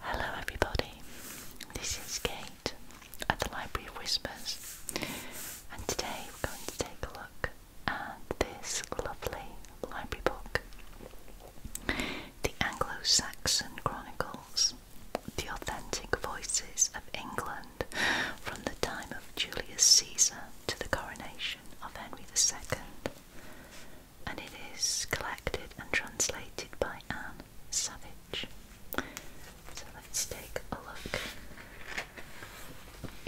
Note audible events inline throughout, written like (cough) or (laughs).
Hello, everybody. This is Kate at the Library of Whispers, and today we're going to take a look at this lovely library book The Anglo Saxon Chronicles The Authentic Voices of England from the Time of Julius Caesar to the Coronation of Henry II and it is collected and translated by Anne Savage. So let's take a look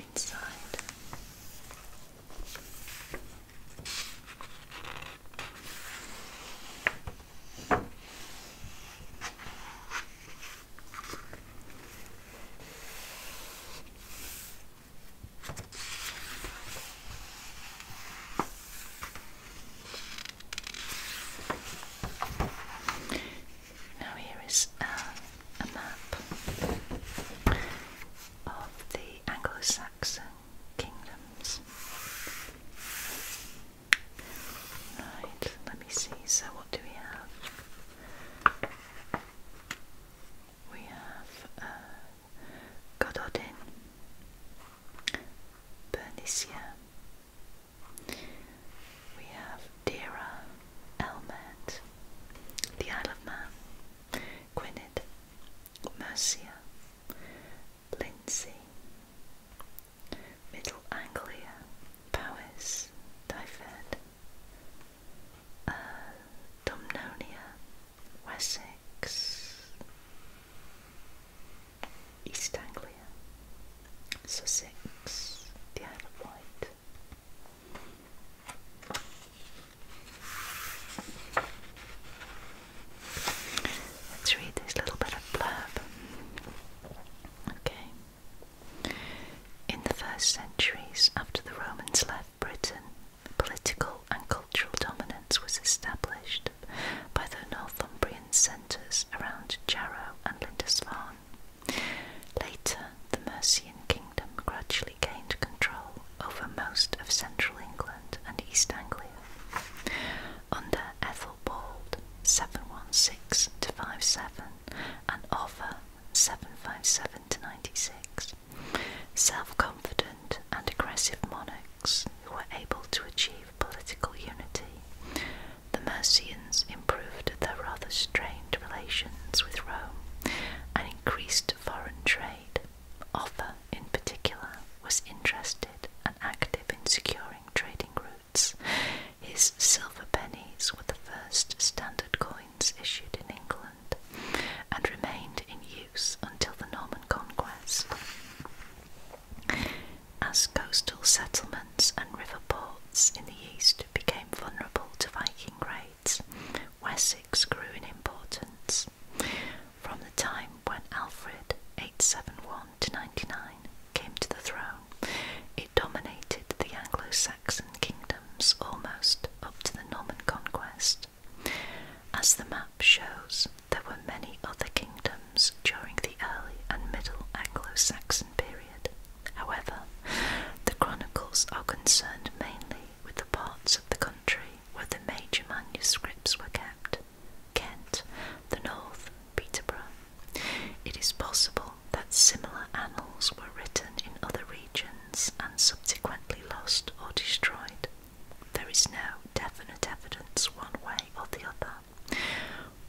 inside. Now, here is uh, a map of the Anglo Saxon kingdoms. Right, let me see. So, what do we have? We have uh, Gododdin, Bernicia. We have Dira, Elmet, the Isle of Man, Gwynedd, Mercia, Lindsey, Middle Anglia, Powys, Dyfed, uh, Dumnonia, Wessex, East Anglia, Sussex, the Isle of Wight. Let's read this little bit of blurb. Okay. In the first centuries after the Romans left, of Britain, political and cultural dominance was established by the Northumbrian centres around Jarrow and Lindisfarne. Later, the Mercian kingdom gradually gained control over most of central England and East Anglia. Under Ethelbald 716 to 57 and Offa 757 to 96, self confident and aggressive monarchs who were able to achieve political unity. The Mercians improved their rather strained relations with Rome and increased foreign trade. Offa, in particular, was interested and active in securing trading routes. His silver pennies were the first standard coins issued in England and remained in use until the Norman conquest. As coastal settlements and river ports in the east became vulnerable to Viking raids, Wessex grew in importance. From the time when Alfred 871 to 99 came to the throne, it dominated the Anglo Saxon kingdoms almost up to the Norman conquest. As the map shows, there were many other kingdoms during the early and middle Anglo Saxon period. However, the chronicles are concerned mainly with the parts of the country where the major manuscripts were kept Kent, the North, Peterborough. It is possible that similar annals were written in other regions and subsequently lost or destroyed. There is no definite evidence one way or the other.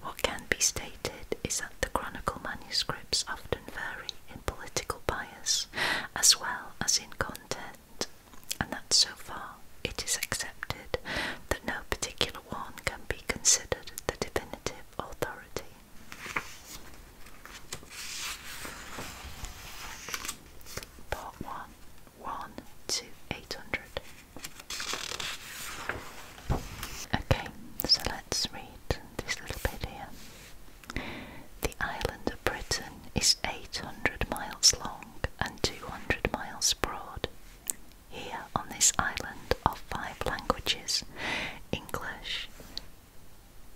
What can be stated is that the chronicle manuscripts often vary in political bias as well as in content, and that so far it is accepted that no particular one can be considered the definitive authority. Part 1 Okay, so let's read this little bit here. The island of Britain is 800 miles long and 200 miles broad. Here on this island are five languages English,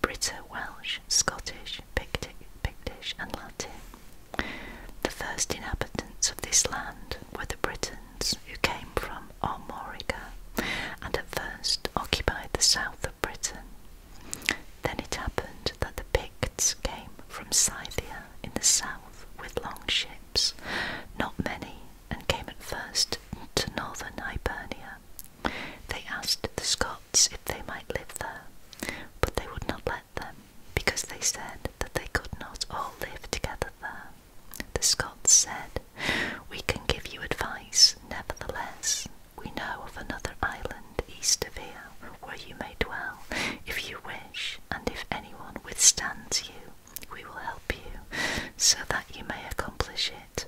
Brito Welsh, Scottish, Pictic, Pictish and Latin. The first inhabitants of this land were the Britons who came from Armorica and at first occupied the south of Britain. Then it happened that the Picts came from Scythia in the south with long ships, not many, and came at first to northern Hibernia. They asked the Scots if they might live there, but they would not let them, because they said that they could not all live together there. The Scots said, We can give you advice, nevertheless. We know of another island east of here where you may dwell if you wish, and if anyone withstands you, we will help you so that you may accomplish it.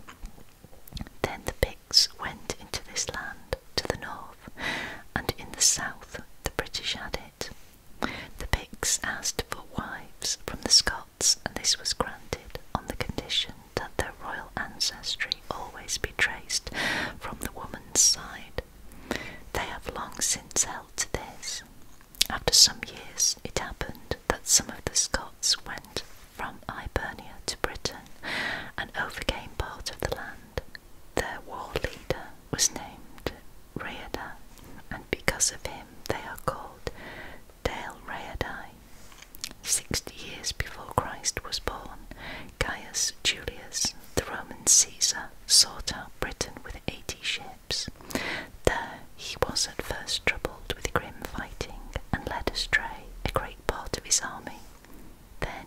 Then the went into this land to the north, and in the south the British had it. The Picts asked for wives from the Scots, and this was granted on the condition that their royal ancestry always be traced from the woman's side. They have long since held to this. After some years, it happened that some of the Scots went from Ibernia to Britain and overcame part of the land. Their war leader was named Reada, and because of him they are called Dale Readae. Sixty years before Christ was born, Gaius Julius, the Roman Caesar, sought out Britain with eighty ships. There he was at first troubled with grim fighting and led astray a great part of his army. Then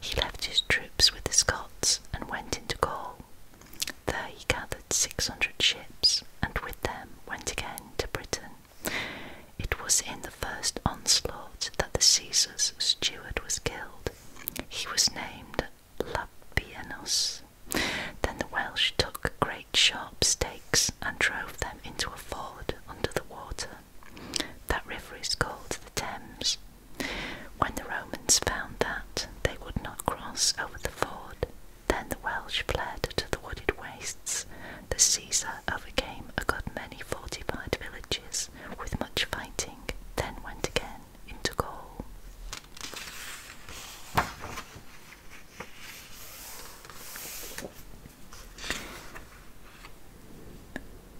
he left his troops with the Scots and went into Gaul. There he gathered 600 ships and with them went again to Britain. It was in the first onslaught that the Caesar's steward was killed. He was named Labienus. Then the Welsh took great sharp stakes and drove them into a ford under the water. That river is called the Thames. When the Romans found that they would not cross over the ford, then the Welsh fled to the wooded wastes. The Caesar overcame a good many fortified villages with much fighting, then went again into Gaul.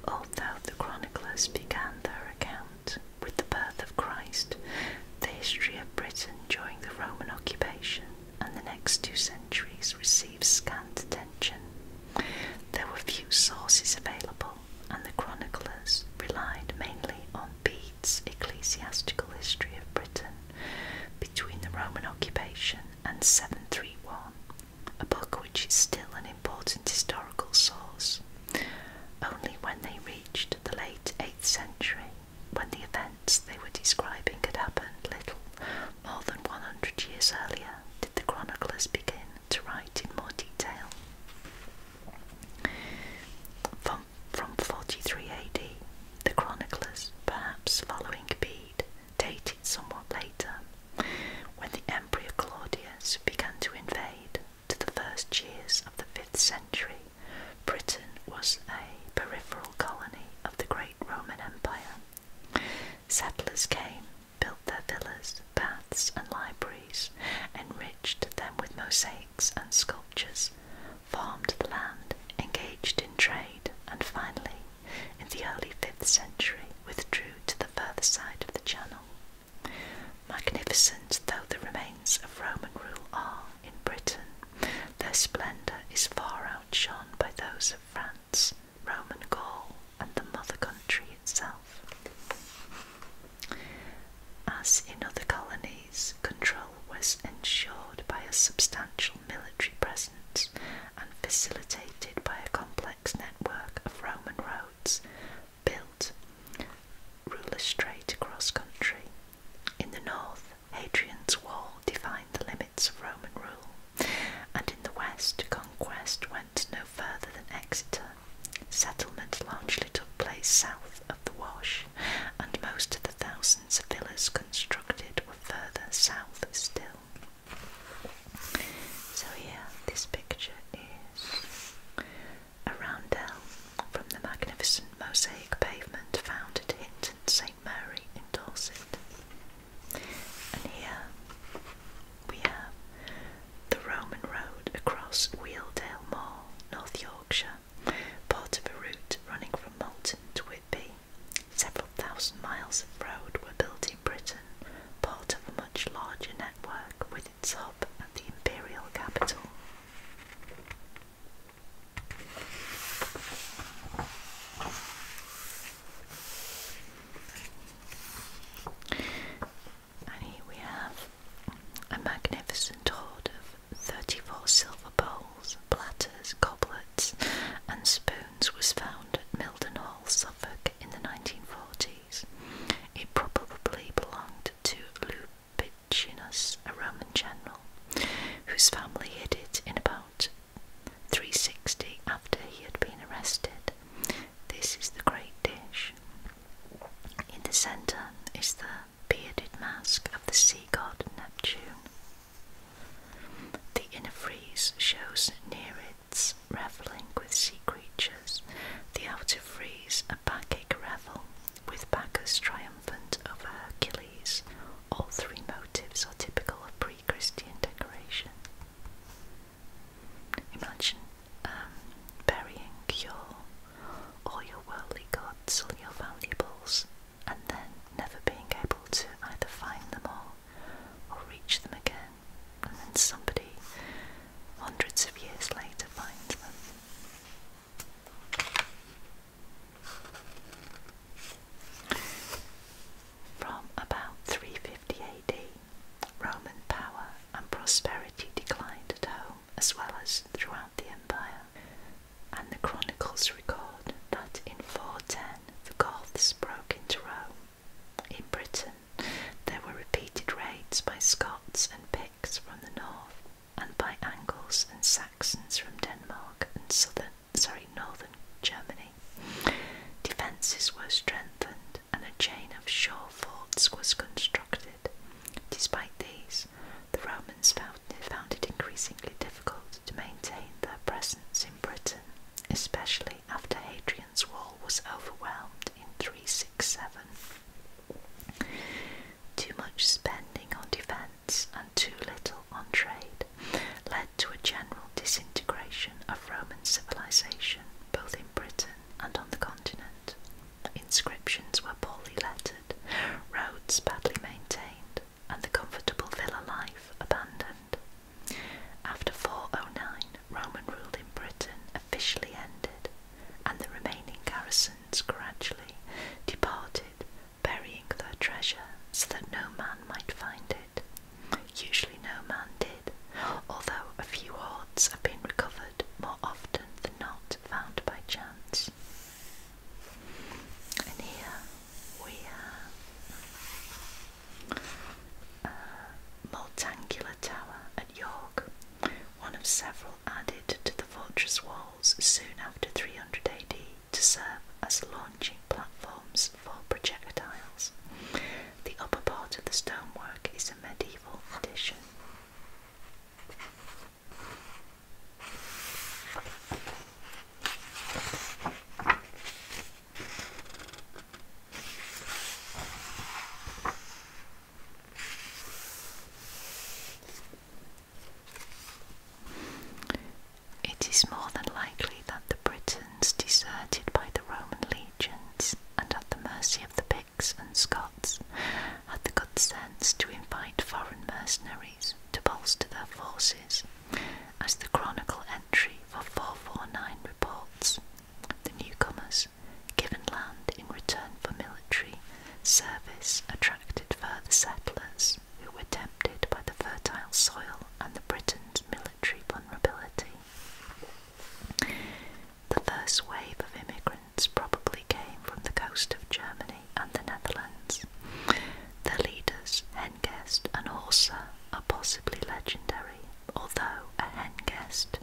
Although the chroniclers began their account with the birth of Christ, the history of Britain during the Roman occupation and the next two centuries received scant attention. There were few sources available, and the chroniclers relied mainly on Bede's ecclesiastical history of Britain between the Roman occupation and 731, a book which is still an important historical source. Only when they reached the late 8th century, when the events they were describing had happened little more than 100 years earlier, did the chroniclers begin to write in more detail. From, from 43 AD, the chroniclers, perhaps following Bede, dated somewhat later, when the Emperor Claudius began to invade, to the first years of the 5th century, Britain was a peripheral colony of the great Roman Empire. Settlers came, built their villas, baths, and libraries, enriched them with mosaics and sculptures, farmed the land, engaged in trade, and finally in the early 5th century withdrew to the further side of the channel. Magnificent though the remains of Roman rule are in Britain, their splendour is far outshone by those of France, Roman Gaul, and the mother country itself. As in other colonies, control was ensured by a substantial military presence and facilitated dominated by a complex network of Roman roads built ruler straight across country. In the north, Hadrian's Wall defined the limits of Roman rule, and in the west, conquest went no further than Exeter. Settlement largely took place south of the Wash, and most of the thousands of villas constructed were further south still. So yeah, this picture is a roundel from the magnificent mosaic pavement found at Hinton St Mary in Dorset. And here we have the Roman road across Wealdale Moor, North Yorkshire, part of a route running from Moulton to Several thousand miles of road were built in Britain, part of a much larger network with its hub at the imperial capital. And here we have a magnificent hoard of 34 silver bowls, platters, goblets, and spoons was found at Milden Suffolk, in the 1940s. It probably belonged to Lupicinus, a Roman general, whose family hid it in about 360 after he had been arrested. This is the great dish. In the centre is the bearded mask of the sea god Neptune. The inner frieze shows nereids reveling with sea creatures, the outer frieze a Bacchic revel, with Bacchus triumphant over Hercules. All three motives are typical of pre Christian decoration. Imagine um, burying your all your worldly goods, all your valuables, and then never being able to either find them or or reach them again, and then somebody hundreds of years later finds them. From about 350 AD, Roman power and prosperity declined at home as well as throughout the empire, and the chronicles record that in 410 the Goths broke into Rome. In Britain, there were repeated raids by Scots and Picts from the north, and by Angles and Saxons from Denmark and southern, sorry, northern Germany. Defences were strengthened, and a chain of shore forts was constructed. Despite these, the Romans found, it increasingly difficult to maintain their presence in Britain, especially after Hadrian's Wall was overwhelmed in 367. Too much spending on defence and too little on trade led to a general disintegration of Roman civilisation, both in Britain and on the continent. Inscriptions were poorly lettered, roads badly maintained, and the comfortable villa life abandoned. After 409, Roman rule in Britain officially ended, and the remaining garrisons gradually departed, burying their treasure so that no man might find it. Usually, no man did, although a few hoards have been recovered more often than not found by chance. And here we have a uh, multiangular Tower at York, one of several added to the fortress walls soon after 300 AD to serve as launching platforms for projectiles. The upper part of the stonework is a medieval addition. It is more than likely that the Britons deserted by the Roman legions and at the mercy of the Picts and Scots had the good sense to invite foreign mercenaries to bolster their forces, as the chronicle for 449 reports. The newcomers, given land in return for military service, attracted further settlers who were tempted by the fertile soil and the Britons' military vulnerability. The first wave of immigrants probably came from the coast of Germany and the Netherlands, the leaders, Hengest and Horsa, are possibly legendary, although a Hengest,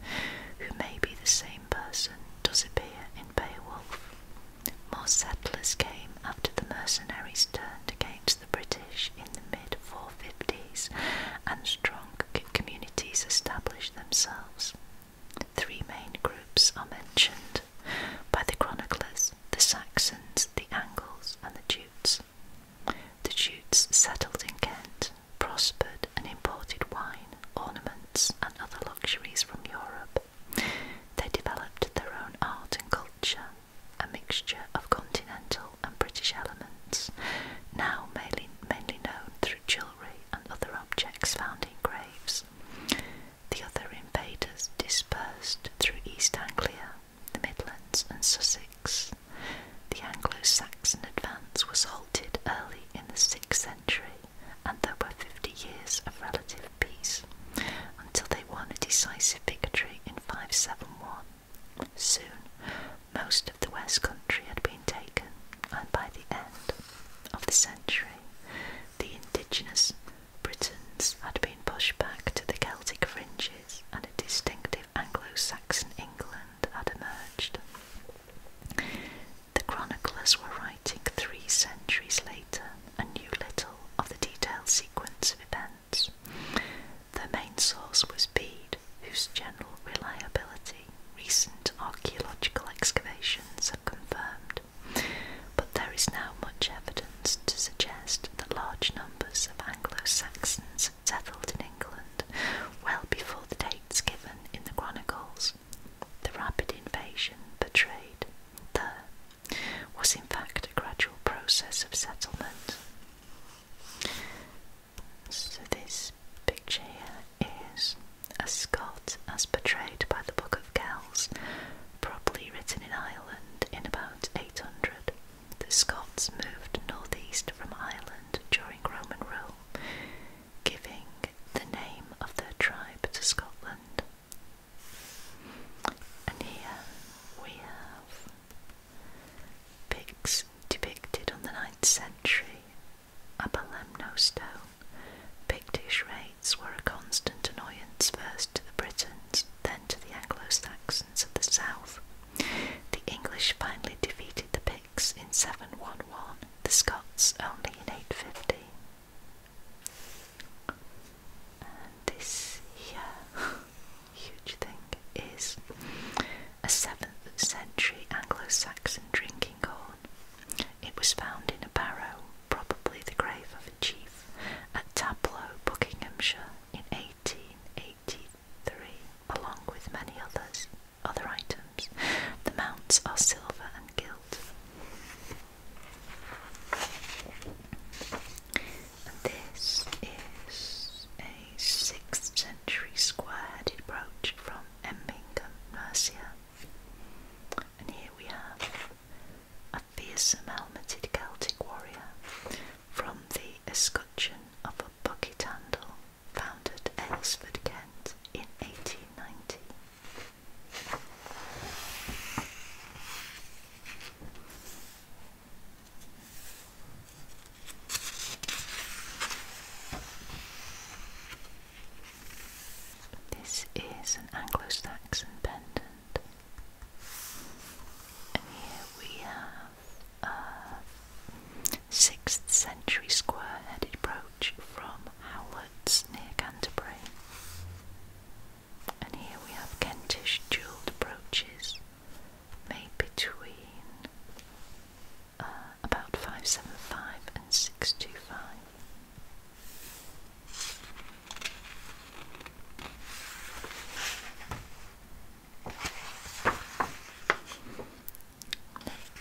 who may be the same person, does appear in Beowulf. More settlers came after the mercenaries turned against the British in the mid 450s, and strong communities established themselves. Three main groups are mentioned by the chroniclers the Saxons the Angles, and the Jutes. The Jutes settled in Kent, prospered, and imported wine, ornaments, and other luxuries from Europe. They developed their own art and culture, a mixture of continental and British elements, now mainly known through jewellery and other objects found in graves. The other invaders dispersed through East Anglia the Midlands and Sussex. The Anglo-Saxon advance was halted early in the 6th century and there were 50 years of relative peace until they won a decisive victory in 571. Soon, most of the West Country had been taken, and by the end of the century, the indigenous Britons had been pushed back to the Celtic fringes and a distinctive Anglo-Saxon England had emerged. The chroniclers were writing three centuries later and knew little of the detailed sequence of events. The main source was Bede, whose general reliability recent archaeological excavations have confirmed but there is now much evidence to suggest that large numbers of Anglo-Saxons settled in England well before the dates given in the chronicles. The rapid invasion portrayed there was in fact a gradual process of settlement. So this picture here is a Scot as portrayed by the Book of Kells probably written in Ireland in about 800. The Scots moved northeast from Ireland during Roman rule, giving the name of their tribe to Scotland. And here we have pigs depicted on the 9th century at Stone. Pictish raids were a constant annoyance first to the Britons, then to the Anglo-Saxons of the south. The English finally defeated the Picts in 711, the Scots only in 850. this here, (laughs) huge thing, is a 7th century Anglo-Saxon drinking horn. It was found in a barrow, probably the grave of a chief, at Taplow, Buckinghamshire in 1883, along with many others, other items. The mounts are silver and gilt. this is a 6th century square-headed brooch from Emmington, Mercia. And here we have fearsome helmeted Celtic warrior from the escutcheon of a bucket handle founded Aylesford, Kent in 1890. This is an Anglo-Saxon pendant and here we have a 6th century square headed brooch from Howlett's near Canterbury. And here we have Kentish jewelled brooches made between uh, about 575 and 625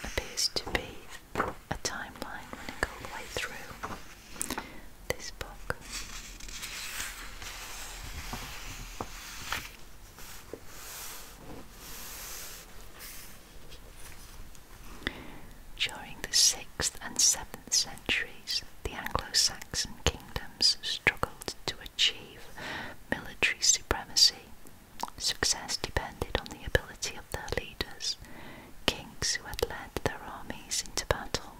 appears to be a timeline running all the way through this book. During the 6th and 7th centuries, the Anglo Saxon anglo kingdoms struggled to achieve military supremacy. Success depended on the ability of their leaders, kings who had led their armies into battle.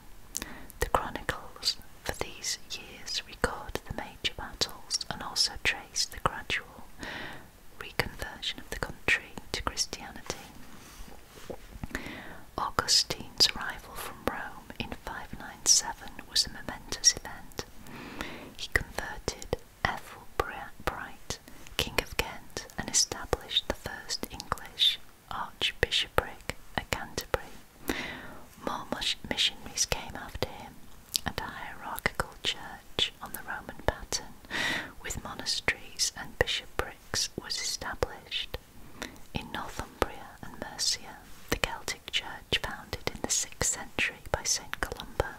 The chronicles for these years record the major battles and also trace the gradual reconversion of the country to Christianity. Augustine's arrival from Rome in 597 was a momentous event. He converted Bright, King of Kent, and established the first English archbishopric at Canterbury. More missionaries came after him, and a hierarchical church on the Roman pattern with monasteries and bishoprics was established. In Northumbria and Mercia, the Celtic church founded in the 6th century by St. Columba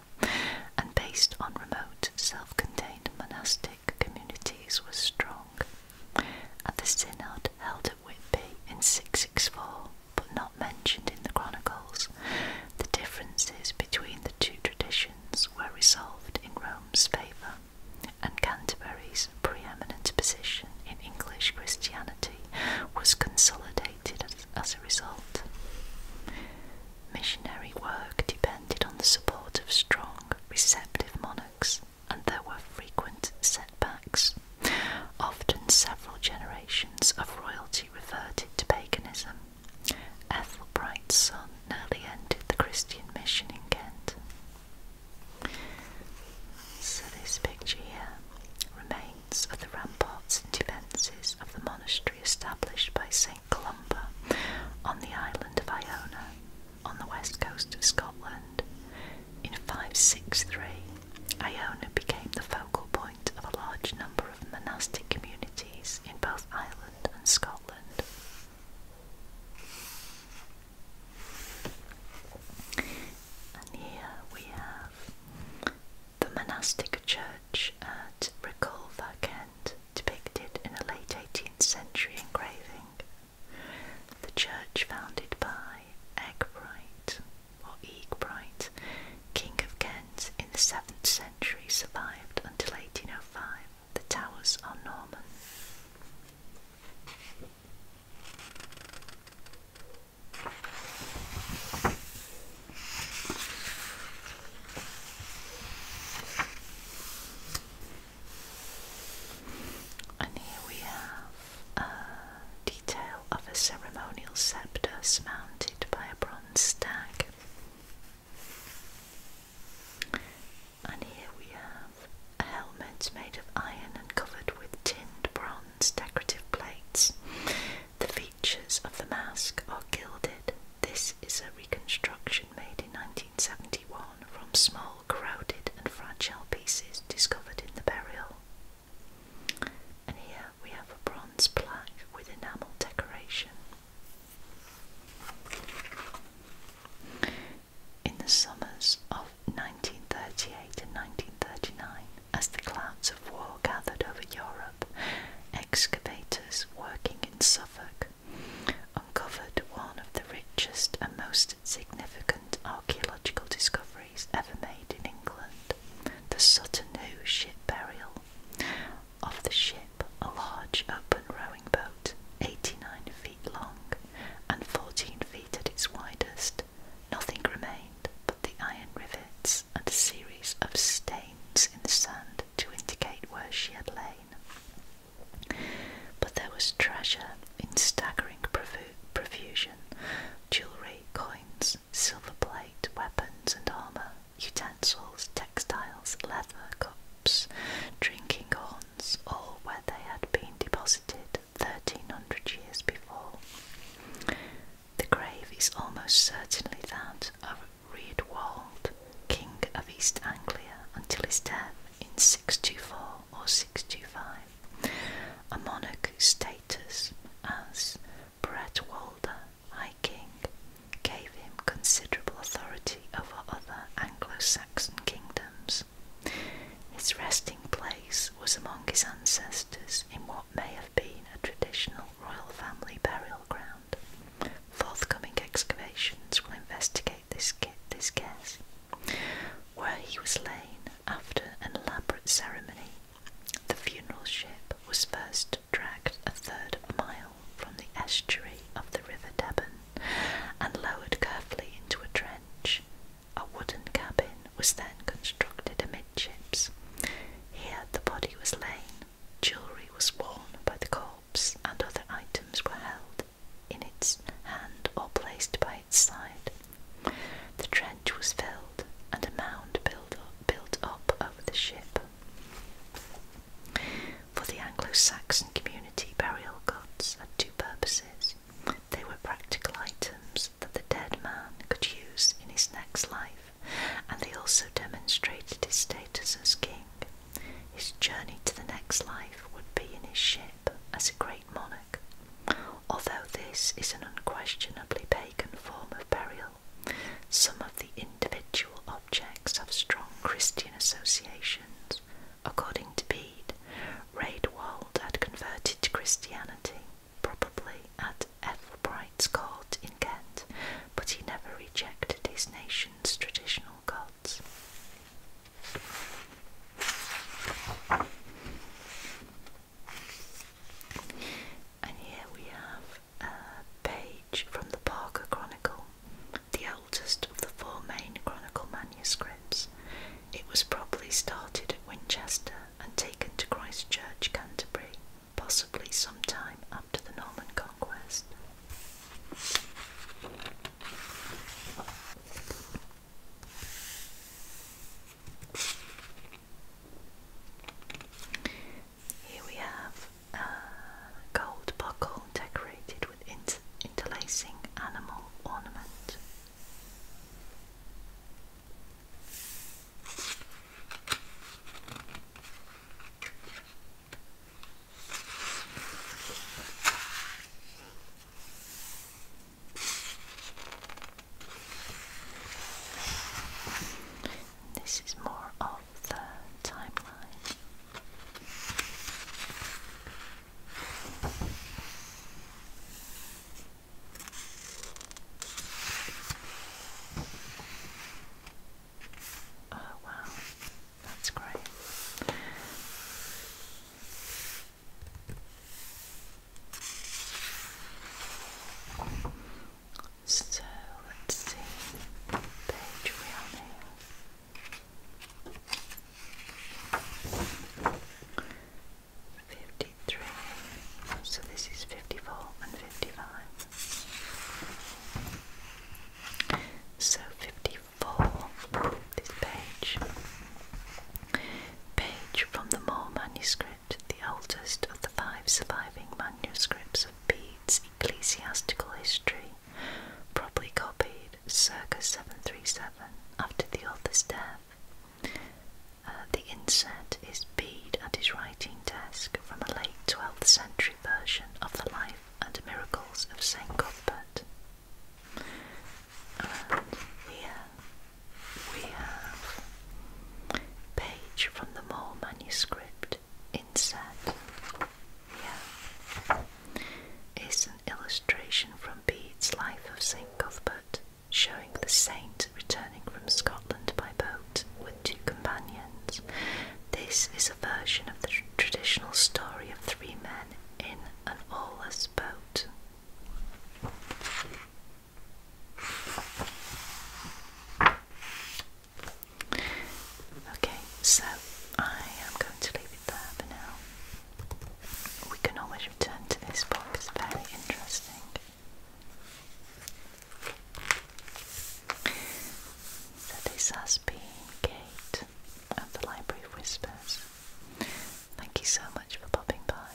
and based on remote self-contained monastic communities was strong. At the synod held at Whitby in 664, but not mentioned in the chronicles, the differences between the two traditions were resolved in Rome's favour and Canterbury's preeminent position in English Christianity was consolidated as, a result. Missionary work depended on the support of strong, receptive monarchs, and there were frequent setbacks. Often, several generations of royalty reverted to paganism. Ethelbright's son nearly ended the Christian mission in Kent. So this picture here remains of the ramparts and defences of the monastery established by St Columba on the island of Iona on the west coast of Scotland. In 563, Iona became the focal point of a large number of monastic communities in both Ireland and Scotland. And here we have the monastic church at Recolver, Kent, depicted in a late 18th century engraving. The church founded by Egbright or Egbright, King of Kent, in the 7th century survived until 1805. The towers are Norman. And here we have a detail of a ceremonial scepter surmounted by a bronze stag. And here we have a helmet made of iron and covered with tinned bronze decorative plates. The features of the mask are gilded. This is a reconstruction made in 1971 from small, crowded, and fragile pieces discovered in the burial. And here we have a bronze plaque with enamel decoration in the summers of 1938 and 1939, as the clouds of war gathered over Europe, excavators working in Suffolk uncovered one of the richest and most significant archaeological discoveries ever made in England the Sutton Hoo ship burial. Of the ship, a large open rowing boat, 89 feet long and 14 feet at its widest, nothing remained but the iron rivets and a series of stains in the sand to indicate where she had lain. But there was treasure in staggering profusion jewellery, coins, silver plate, weapons and armour, utensils, textiles, leather, cups, drinking horns ponds where they had been deposited 1300 years before. The grave is almost certainly that of Reardwald, King of East Anglia, until his death in 624 or 625, a monarch whose status as Bretwalda, High King, gave him considerable authority over other Anglo Saxon kingdoms. His resting place was among his ancestors in what may have been a traditional royal family burial ground. Forthcoming excavations will investigate this, guess, where he was lain after an elaborate ceremony. The funeral ship was first dragged a third mile from the estuary of the River Deben and lowered carefully into a trench. A wooden cabin was then constructed amidships. Here the body was lain, jewellery was worn by the corpse, and other items were held in its hand or placed by its side. The trench was filled and a mound built up, built up over the ship. For the Anglo Saxon community, burial gods had two purposes. They were practical items that the dead man could use in his next life, and they also demonstrated his status as king. His journey to the next life would be in his ship as a great monarch. Although this is an unquestionably pagan form of burial, some of the individual objects have strong Christian associations. According to B. Indeed, had converted to Christianity, probably at Ethelbright's court in Kent, but he never rejected his nation's traditional gods. And here we have a page from the Parker Chronicle the oldest of the four main Chronicle manuscripts. It was probably started at Winchester and taken to Christchurch, Canterbury, possibly sometime after the Norman Conquest. Here we have a gold buckle decorated interlacing animal ornament. This is more of the timeline. Oh, wow, that's great. So let's see, page we 53 so this is 54 and 55 so 54 this page page from the Moore manuscript the oldest of the five surviving manuscripts of Bede's ecclesiastical history probably copied circa 737 after the author's death. Uh, the inset is bead at his writing desk from a late 12th century version of the Life and Miracles of St. Cuthbert. here we have page from the Moore manuscript inset. Yeah. It's an illustration from Bede's Life of St. Cuthbert, showing the saint returning from Scotland by boat with two companions. This is a version of the traditional story of three men in an oarless boat. Okay, so I am going to leave it there for now. We can always return to this book, very interesting. this has been Kate of the Library Whispers. Thank you so much for popping by.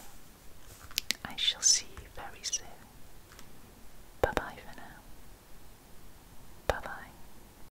I shall see you very soon. Bye bye for now. Bye bye.